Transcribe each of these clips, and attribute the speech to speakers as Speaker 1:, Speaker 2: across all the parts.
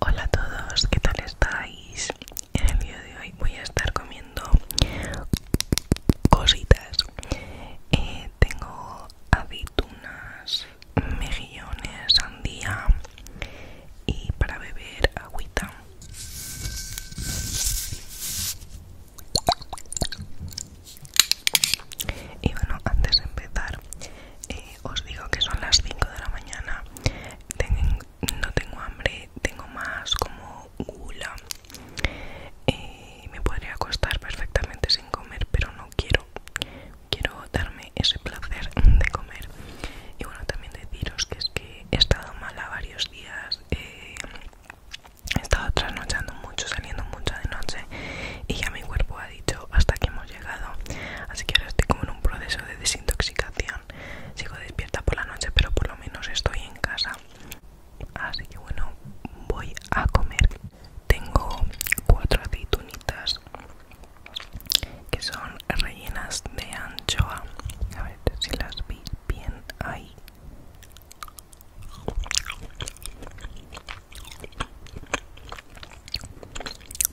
Speaker 1: Hola a todos, ¿qué tal estáis? En el vídeo de hoy voy a estar comiendo cositas. Eh, tengo aceitunas, mejillones, sandía y para beber agüita. Y bueno, antes de empezar, eh, os digo que son las 5 de la mañana. no tengo hambre, tengo más como gula. Y eh, me podría acostar perfectamente sin comer, pero no quiero. Quiero darme ese placer de comer. Y bueno, también deciros que es que he estado mala varios días. Eh, he estado trasnochando mucho, saliendo mucho de noche y ya mi cuerpo ha dicho hasta que hemos llegado. Así que ahora estoy como en un proceso de desintoxicación. Sigo despierta por la noche, pero por lo menos estoy en casa. Así que bueno, voy a comer. Tengo cuatro aceitunitas que son rellenas de anchoa. A ver si las vi bien ahí.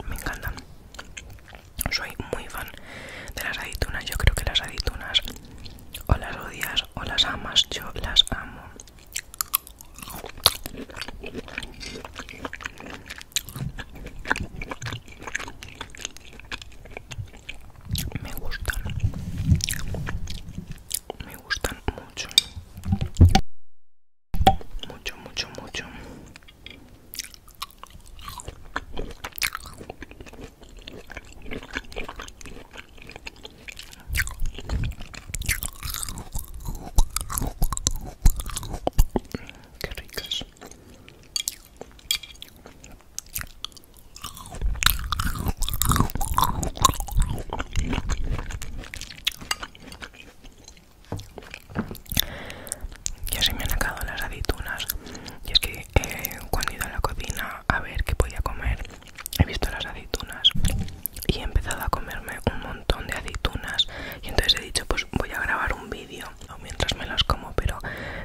Speaker 1: Me encantan. Soy muy fan de las aditunas, Yo creo que las aditunas o las odias o las amas. Yo las amo. Me gustan me gustan mucho mucho mucho mucho Qué ricas. Y así me han acabado las aceitunas. Y es que eh, cuando he ido a la cocina a ver qué podía comer, he visto las aceitunas y he empezado a comerme un montón de aceitunas. Y entonces he dicho, pues voy a grabar un vídeo mientras me las como, pero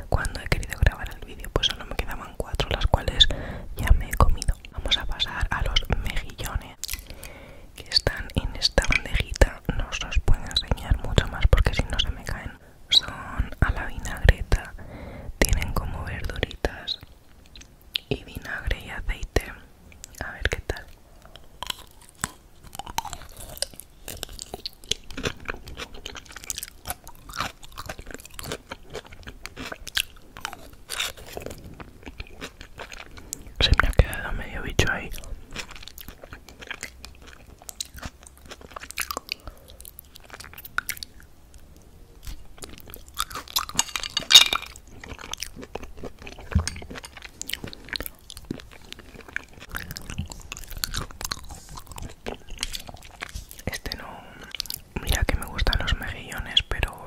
Speaker 1: cuando he querido grabar el vídeo, pues solo me quedaban cuatro, las cuales ya me he comido. Vamos a pasar a los mejillones que están en esta bandejita no os los puedo enseñar mucho más porque si no se me caen son a la vinagreta tienen como verduritas y vinagre y aceite a ver qué tal se me ha quedado medio bicho ahí. Este no... Mira que me gustan los mejillones, pero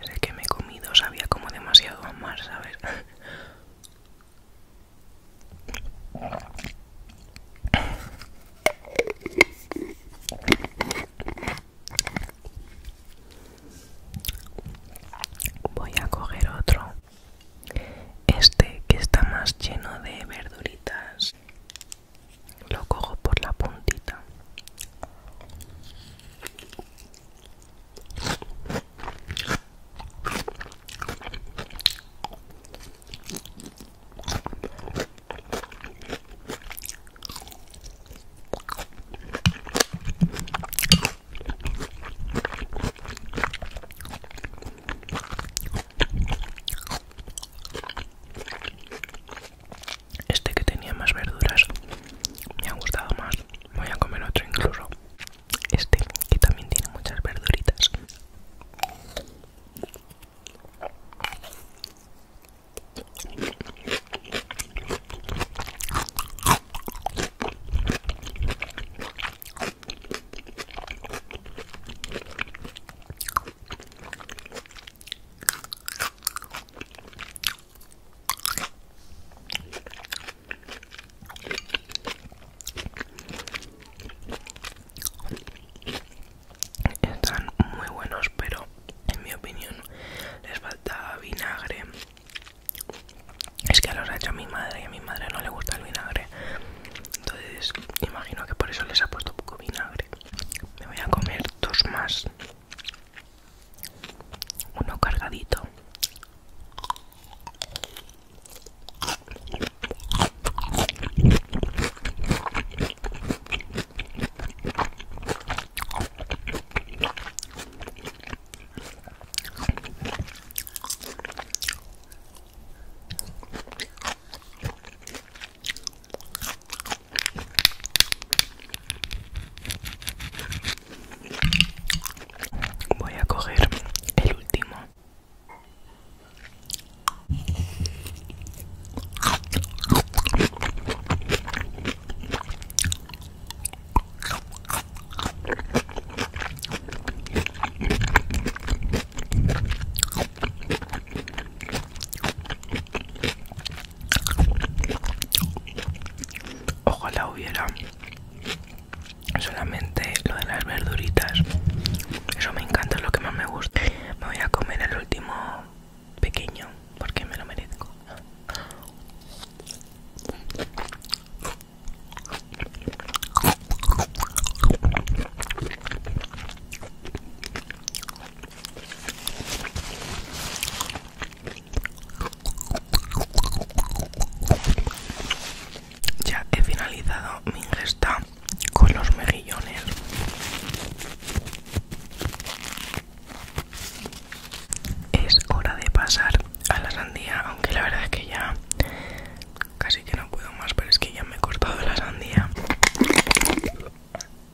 Speaker 1: es el que me he comido, sabía como demasiado amar, ¿sabes? Voy a coger otro. Este que está más lleno de verduritas lo cojo por la puntita este que tenía más verduras me ha gustado más. Voy a comer otro incluso. Este que también tiene muchas verduritas. Están muy buenos, pero en mi opinión les falta vinagre. Es que los ha hecho mi madre y a mi madre no le gusta el vinagre. Entonces imagino que por eso les ha puesto poco vinagre. Me voy a comer dos más uno cargadito Voy a coger el último. Ojalá hubiera solamente lo de las verduritas. Eso me encanta, es lo que más me gusta. Me voy a comer el último pequeño porque me lo merezco. Ya he finalizado mi ingesta con los mejillones. Es hora de pasar a la sandía, aunque la verdad es que ya casi que no puedo más, pero es que ya me he cortado la sandía.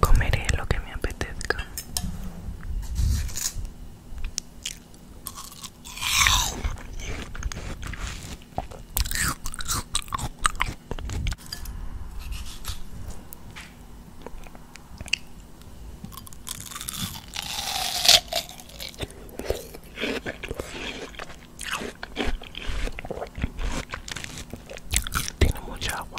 Speaker 1: Comeré lo que me apetezca. Tiene mucha agua.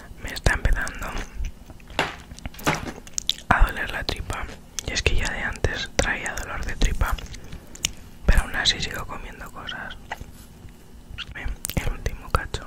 Speaker 1: me está empezando a doler la tripa y es que ya de antes traía dolor de tripa pero aún así sigo comiendo cosas el último cacho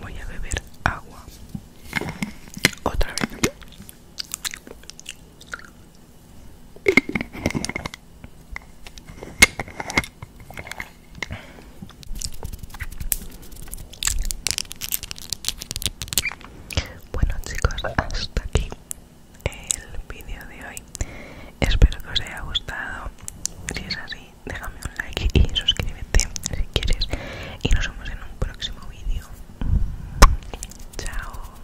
Speaker 1: Voy a beber agua otra vez. Bueno chicos, hasta aquí el vídeo de hoy. Espero que os haya gustado. Si es así, déjame un like y suscríbete si quieres. Y nos vemos en un próximo vídeo. Chao.